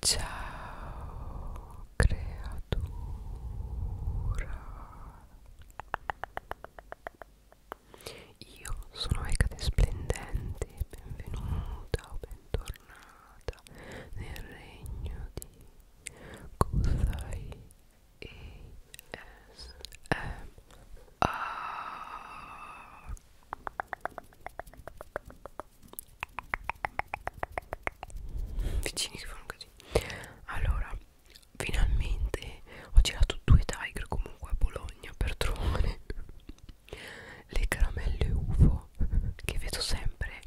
Ciao creatura Io sono Ecate Splendente Benvenuta o bentornata nel regno di Kuzai ASMR vicini che fanno così allora finalmente ho girato due tiger comunque a Bologna per trovare le caramelle UFO che vedo sempre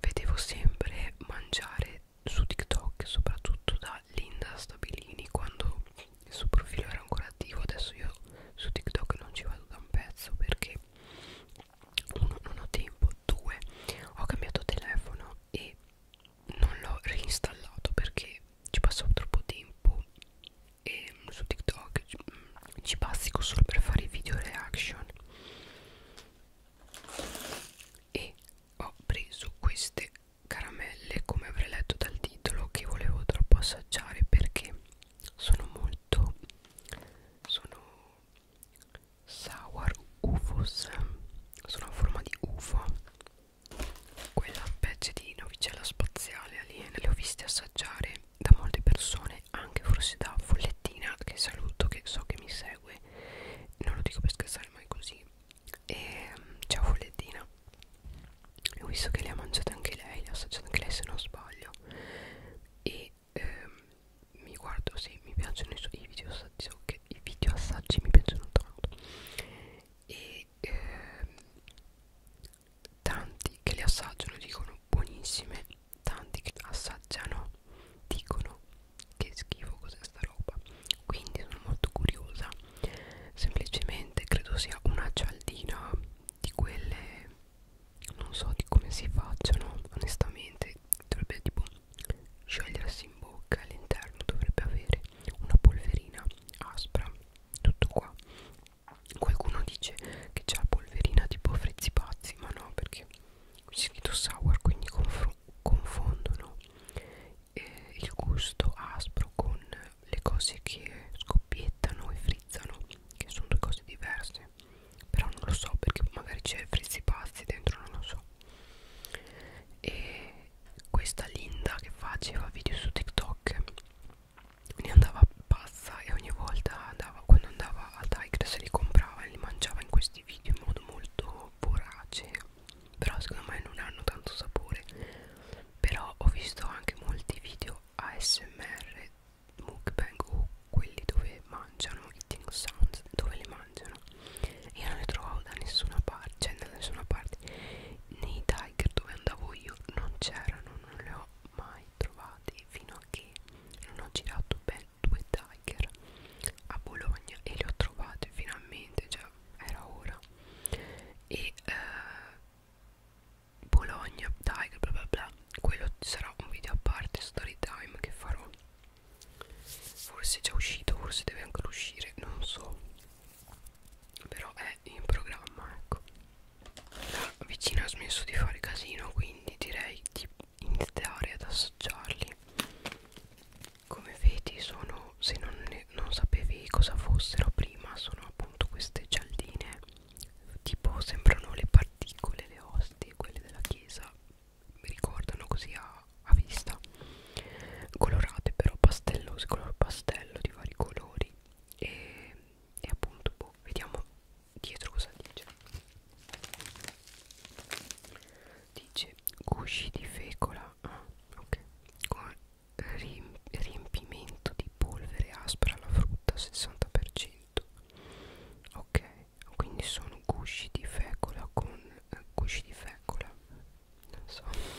vedevo sempre mangiare su TikTok soprattutto da Linda Stabilini quando il suo profilo era ancora attivo adesso io su TikTok non ci vado da un pezzo perché uno non ho tempo due ho cambiato telefono e non l'ho reinstallato perché ci passavo troppo tempo e su TikTok ci, mm, ci bazzico solo per fare i video reaction e ho preso queste caramelle come avrei letto dal titolo che volevo troppo assaggiare perché sono molto sono sour ufos sono a forma di ufo quella specie di novicella spaziale aliena le ho viste assaggiare da molte persone anche forse da follettina che saluto che so che mi segue non lo dico per scherzare ma è così e ciao follettina ho visto che le ha mangiate anche lei le ha assaggiate anche lei se non sbaglio video e ehm, mi guardo se sì, mi piacciono i, so i video assaggi so diciamo che i video assaggi mi piacciono tanto e ehm, tanti che li assaggiano dicono buonissime tanti che assaggiano dicono che schifo cos'è sta roba quindi sono molto curiosa semplicemente credo sia una cialdina di quelle non so di come si facciano onestamente dovrebbe tipo sciogliersi in bocca all'interno dovrebbe avere una polverina aspra tutto qua qualcuno dice che c'è la polverina tipo frizzi pazzi ma no perché qui c'è scritto sour quindi confondono eh, il gusto aspro con le cose che scoppiettano e frizzano che sono due cose diverse però non lo so perché magari c'è frizzi pazzi dentro non lo so e questa Linda che faceva video su TikTok ne andava pazza e ogni volta andava, quando andava al Tigres li comprava e li mangiava in questi video in modo molto vorace però secondo me non hanno tanto sapore però ho visto anche molti video ASMR mukbang o quelli dove mangiano eating sounds dove li mangiano io non li trovavo da nessuna parte cioè da nessuna parte nei tiger dove andavo io non c'erano non li ho mai trovati fino a che non ho girato ben due tiger a Bologna e li ho trovati finalmente cioè era ora e eh, Bologna Tiger bla bla bla quello sarà un video a parte story time che farò forse è già uscito forse deve ancora uscire non so però è in programma ecco la vicina ha smesso di fare casino quindi direi di iniziare ad assaggiarli come vedi sono se non, ne, non sapevi cosa fossero prima sono appunto queste gialline tipo sembrano le particole, le ostie, quelle della chiesa, mi ricordano così a, a vista, colorate però pastellose, color pastello di vari colori e, e appunto boh, vediamo dietro cosa dice. Dice gusci di fecola, ah, ok, con riempimento di polvere aspra alla frutta 60% ok quindi sono gusci di fecola con eh, gusci di fecola non so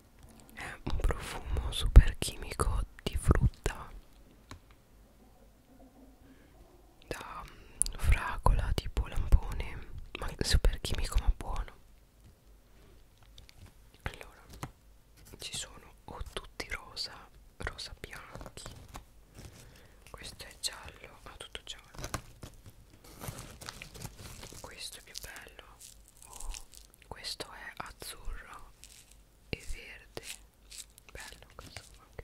è un profumo super chimico di frutta da mm, fragola tipo lampone ma super chimico ma buono allora ci sono o tutti rosa rosa bianchi questo è giallo ma ah, tutto giallo questo è più bello oh questo è azzurro e verde bello questo anche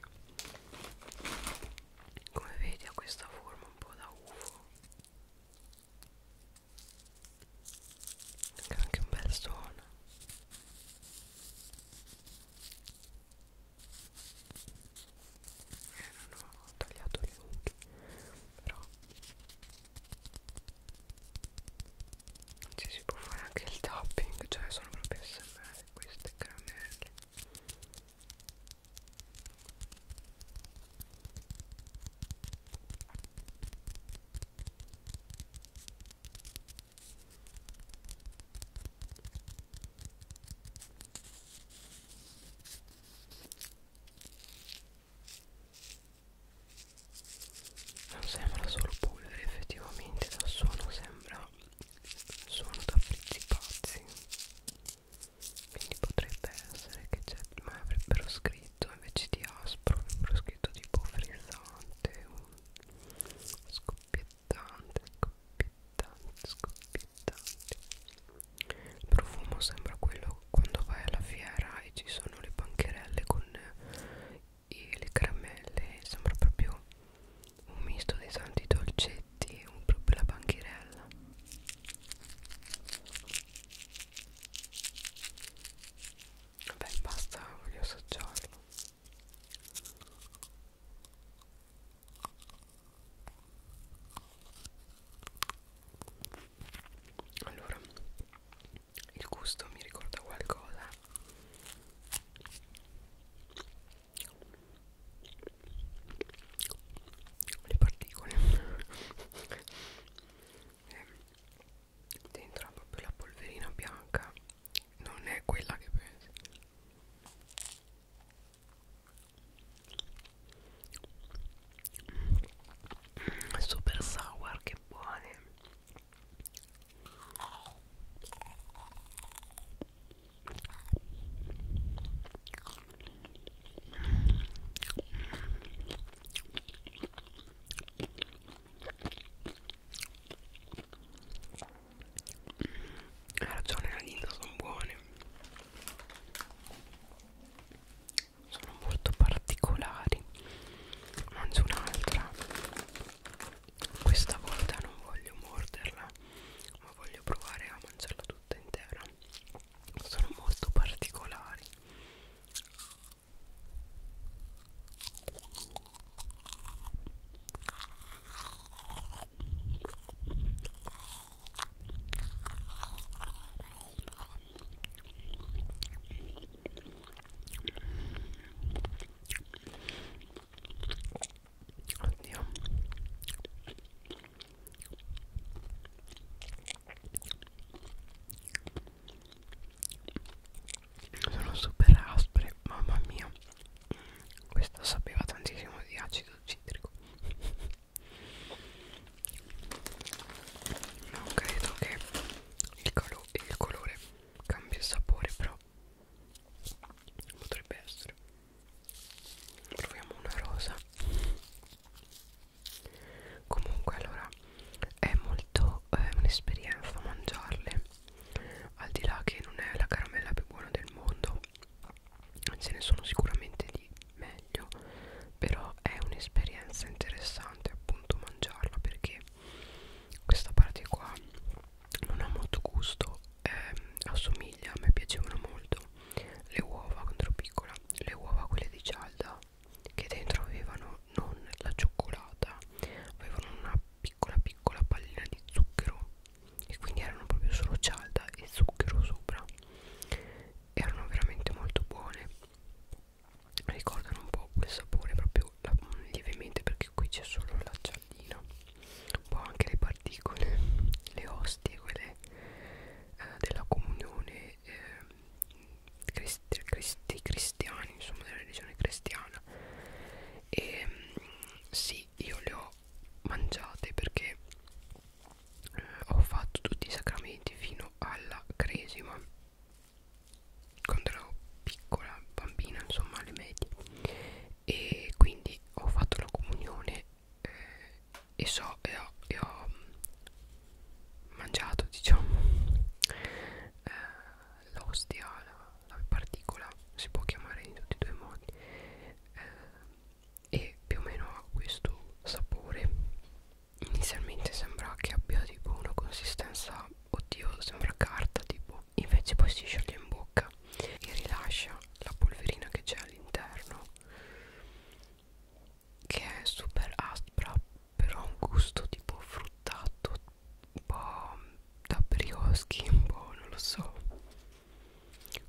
come vedi ha questa forma un po' da uvo che anche un bel suono eh, non ho tagliato gli unghie però ci si può fare anche il topping cioè sono proprio smr queste caramelle non sembra solo polvere effettivamente dal suono sembra suono da frizzi pazzi quindi potrebbe essere che c'è ma avrebbero scritto invece di aspro avrebbero scritto tipo frizzante scoppiettante scoppiettante scoppiettante il profumo sembra quello quando vai alla fiera e ci sono le bancherelle con i, le caramelle sembra proprio un misto di tanti dolcetti un, proprio la bancherella vabbè basta voglio assaggiarlo allora il gusto mi ricorda qualcosa le particole dentro ha proprio la polverina bianca non è quella che pensi super sour che buone hai ragione la linda sono buone sono molto particolari mangio un'altra questa volta non voglio morderla ma voglio provare a mangiarla tutta intera sono molto particolari Oddio sono super aspre, mamma mia questa sapeva tantissimo di acido citrico non credo che il, calo il colore cambi il sapore però potrebbe essere proviamo una rosa comunque allora è molto eh, un'esperienza mangiarle al di là che non è la caramella più buona del mondo ce ne sono sicuramente di meglio però è un'esperienza interessante appunto mangiarla perché questa parte qua non ha molto gusto eh, assomiglia a me piacevano molto le uova contro piccola le uova quelle di cialda che dentro avevano non la cioccolata avevano una piccola piccola pallina di zucchero e quindi erano proprio solo cialda e zucchero sopra erano veramente molto buone ricordano un po' quel sapore proprio la, mm, lievemente perché qui c'è solo l'acciallina un po' anche le particole le ostie quelle eh, della comunione eh, cristi, cristi, cristiani insomma della religione cristiana e mm, sì io le ho mangiate perché eh, ho fatto tutti i sacramenti fino alla cresima quando ero piccola bambina insomma alle medie e quindi ho fatto la comunione eh, e so e ho, e ho mm, mangiato diciamo eh, l'ostia la, la particola si può chiamare in tutti e due i modi eh, e più o meno ha questo sapore inizialmente sembra che abbia tipo una consistenza oddio sembra carta tipo invece poi si scioglie in bocca e rilascia la polverina che c'è all'interno che è super aspra però ha un gusto tipo fruttato un po' da brioschi un po' non lo so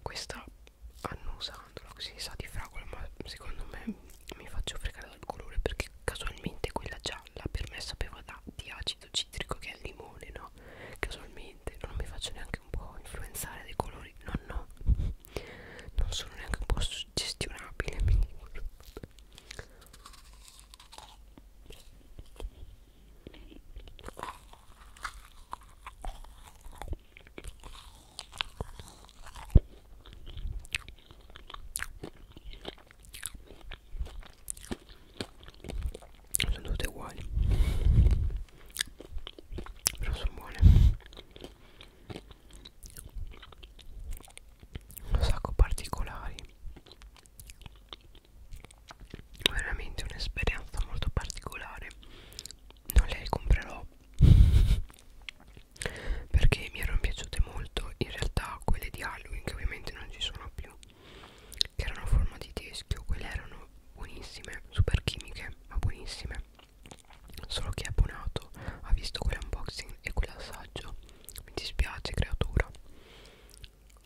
questa annusandolo così sa di fragola ma secondo me mi faccio fregare dal colore perché casualmente quella gialla per me sapeva da, di acido citrico che è il limone no casualmente non mi faccio neanche un po' influenzare dei colori no no non sono neanche un po' suggestionabile sono tutte uguali però sono buone un sacco particolari veramente un'esperienza molto particolare non le comprerò perché mi erano piaciute molto in realtà quelle di Halloween che ovviamente non ci sono più che erano a forma di teschio quelle erano buonissime super chimiche ma buonissime solo che è abbonato ha visto quell'unboxing e quell'assaggio mi dispiace creatura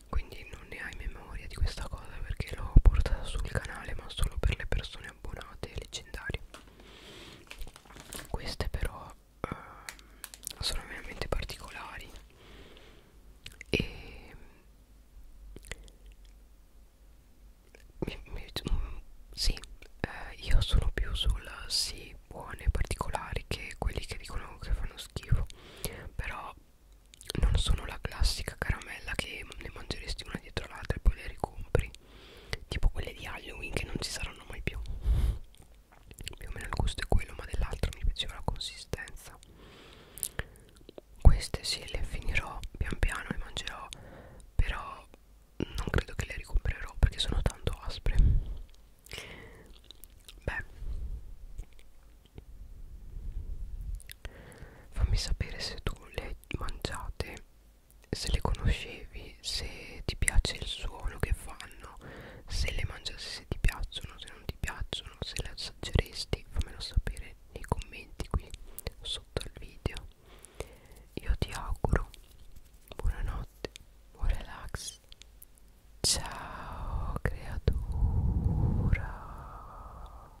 quindi non ne hai memoria di questa cosa perché l'ho portata sul canale ma solo per le persone abbonate leggendarie queste però eh, sono veramente particolari e mi, mi, sì eh, io sono più sulla sì buone particolari che quelli che dicono che fanno schifo però non sono la classica caramella che ne mangeresti una una dietro l'altra e poi le ricompri tipo quelle di Halloween che non ci saranno mai più più o meno il gusto è quello ma dell'altro mi piaceva la consistenza queste sì le finirò pian piano e mangerò però non credo che le ricomprerò perché sono tanto aspre beh fammi sapere se tu le mangiate se le conoscevi se ti piace il suono che fanno se le mangiassi se ti piacciono se non ti piacciono se le assaggeresti fammelo sapere nei commenti qui sotto al video io ti auguro buonanotte buon relax ciao creatura